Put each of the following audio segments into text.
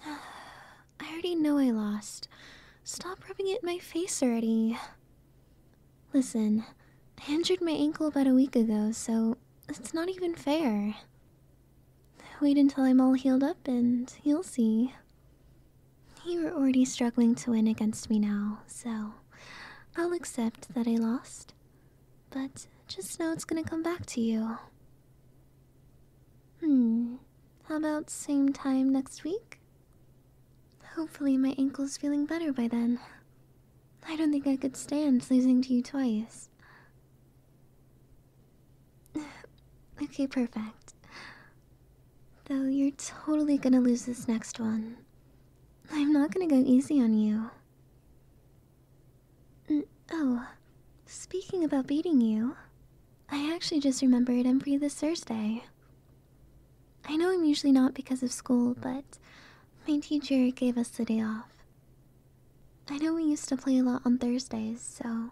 I already know I lost. Stop rubbing it in my face already. Listen, I injured my ankle about a week ago, so it's not even fair. Wait until I'm all healed up and you'll see. You were already struggling to win against me now, so I'll accept that I lost. But just know it's gonna come back to you. Hmm, how about same time next week? Hopefully, my ankle's feeling better by then. I don't think I could stand losing to you twice. okay, perfect. Though you're totally gonna lose this next one. I'm not gonna go easy on you. oh, speaking about beating you, I actually just remembered I'm free this Thursday. I know I'm usually not because of school, but my teacher gave us the day off. I know we used to play a lot on Thursdays, so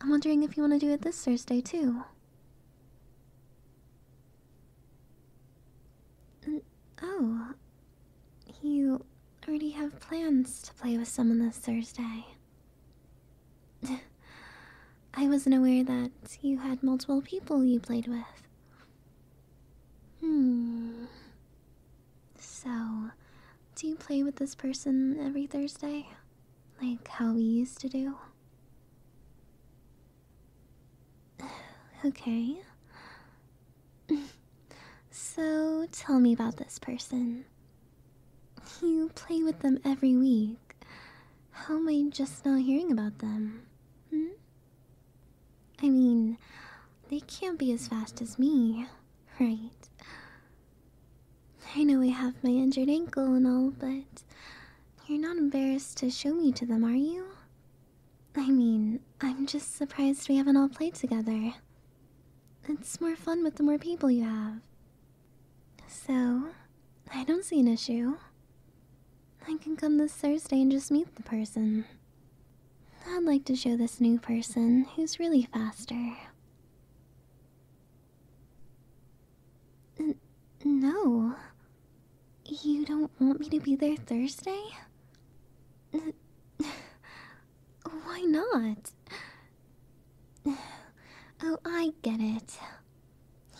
I'm wondering if you want to do it this Thursday too. Oh, you already have plans to play with someone this Thursday. I wasn't aware that you had multiple people you played with. Hmm. So, do you play with this person every Thursday? Like how we used to do? okay. so, tell me about this person. You play with them every week. How am I just not hearing about them? Hmm? I mean, they can't be as fast as me, right? I know I have my injured ankle and all, but you're not embarrassed to show me to them, are you? I mean, I'm just surprised we haven't all played together. It's more fun with the more people you have. So, I don't see an issue. I can come this Thursday and just meet the person. I'd like to show this new person who's really faster. no. You don't want me to be there Thursday? Why not? Oh, I get it.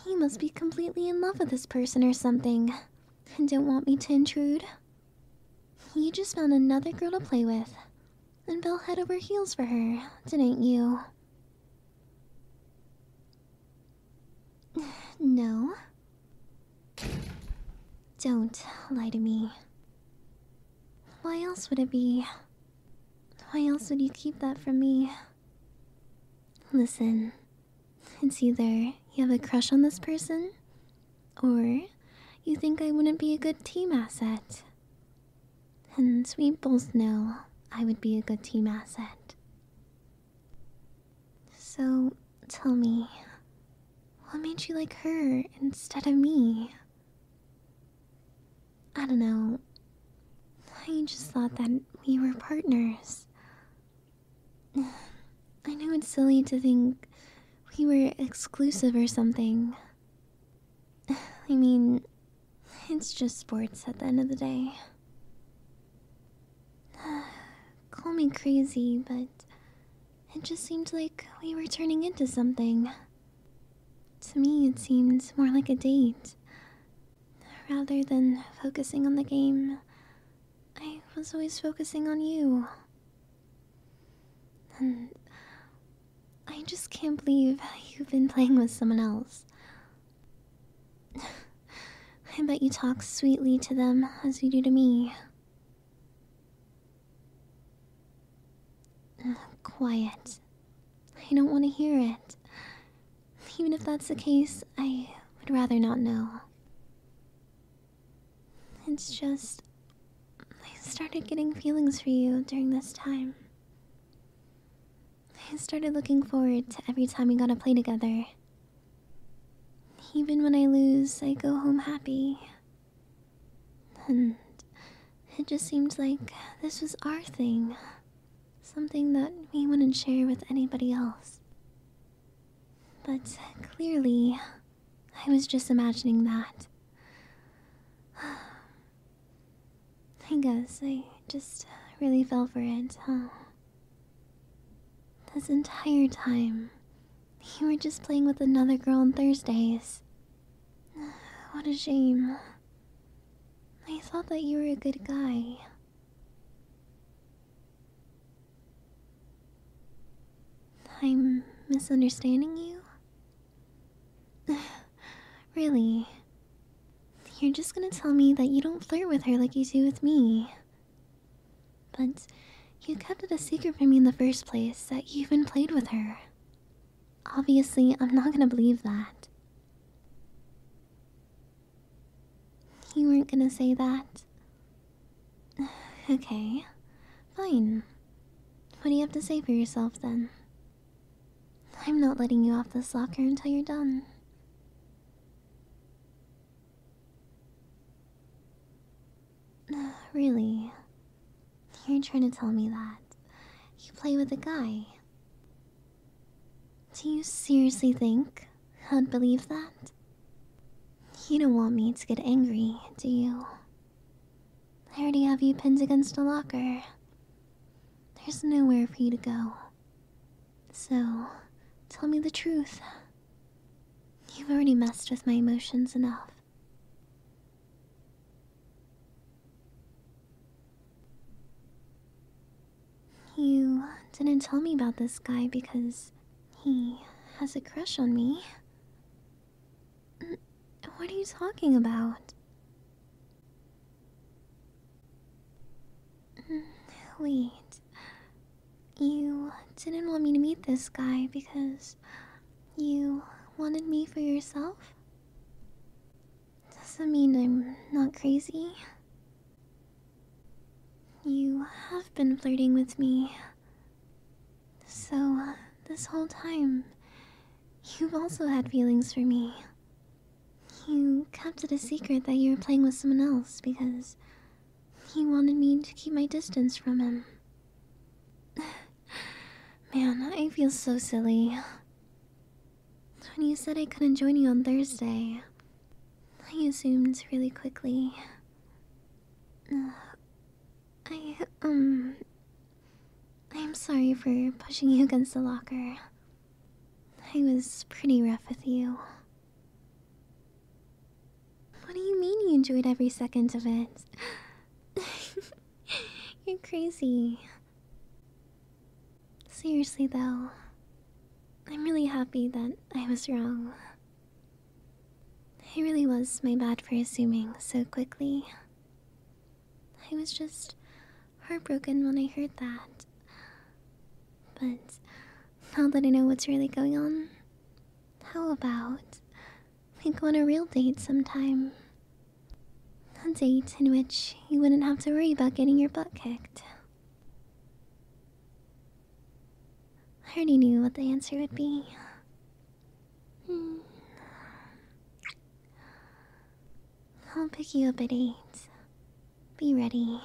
He must be completely in love with this person or something, and don't want me to intrude. You just found another girl to play with, and fell head over heels for her, didn't you? No. Don't lie to me. Why else would it be? Why else would you keep that from me? Listen, it's either you have a crush on this person, or you think I wouldn't be a good team asset. And we both know I would be a good team asset. So tell me, what made you like her instead of me? I don't know. I just thought that we were partners. I know it's silly to think we were exclusive or something. I mean, it's just sports at the end of the day. Call me crazy, but it just seemed like we were turning into something. To me, it seemed more like a date Rather than focusing on the game, I was always focusing on you. And I just can't believe you've been playing with someone else. I bet you talk sweetly to them as you do to me. Quiet. I don't want to hear it. Even if that's the case, I would rather not know. It's just. I started getting feelings for you during this time. I started looking forward to every time we got to play together. Even when I lose, I go home happy. And it just seems like this was our thing. Something that we wouldn't share with anybody else. But clearly, I was just imagining that. I guess I just really fell for it, huh? This entire time, you were just playing with another girl on Thursdays. What a shame. I thought that you were a good guy. I'm misunderstanding you? really? You're just gonna tell me that you don't flirt with her like you do with me. But you kept it a secret from me in the first place that you even played with her. Obviously, I'm not gonna believe that. You weren't gonna say that. Okay, fine. What do you have to say for yourself then? I'm not letting you off this locker until you're done. Really? You're trying to tell me that. You play with a guy. Do you seriously think I'd believe that? You don't want me to get angry, do you? I already have you pinned against a locker. There's nowhere for you to go. So, tell me the truth. You've already messed with my emotions enough. You didn't tell me about this guy because he has a crush on me. What are you talking about? Wait. You didn't want me to meet this guy because you wanted me for yourself? Doesn't mean I'm not crazy. You have been flirting with me. So, uh, this whole time, you've also had feelings for me. You kept it a secret that you were playing with someone else because he wanted me to keep my distance from him. Man, I feel so silly. When you said I couldn't join you on Thursday, I assumed really quickly. Uh, I, um. I'm sorry for pushing you against the locker. I was pretty rough with you. What do you mean you enjoyed every second of it? You're crazy. Seriously, though, I'm really happy that I was wrong. I really was my bad for assuming so quickly. I was just heartbroken when I heard that. But now that I know what's really going on, how about we go on a real date sometime a date in which you wouldn't have to worry about getting your butt kicked. I already knew what the answer would be. Hmm. I'll pick you up at 8. Be ready.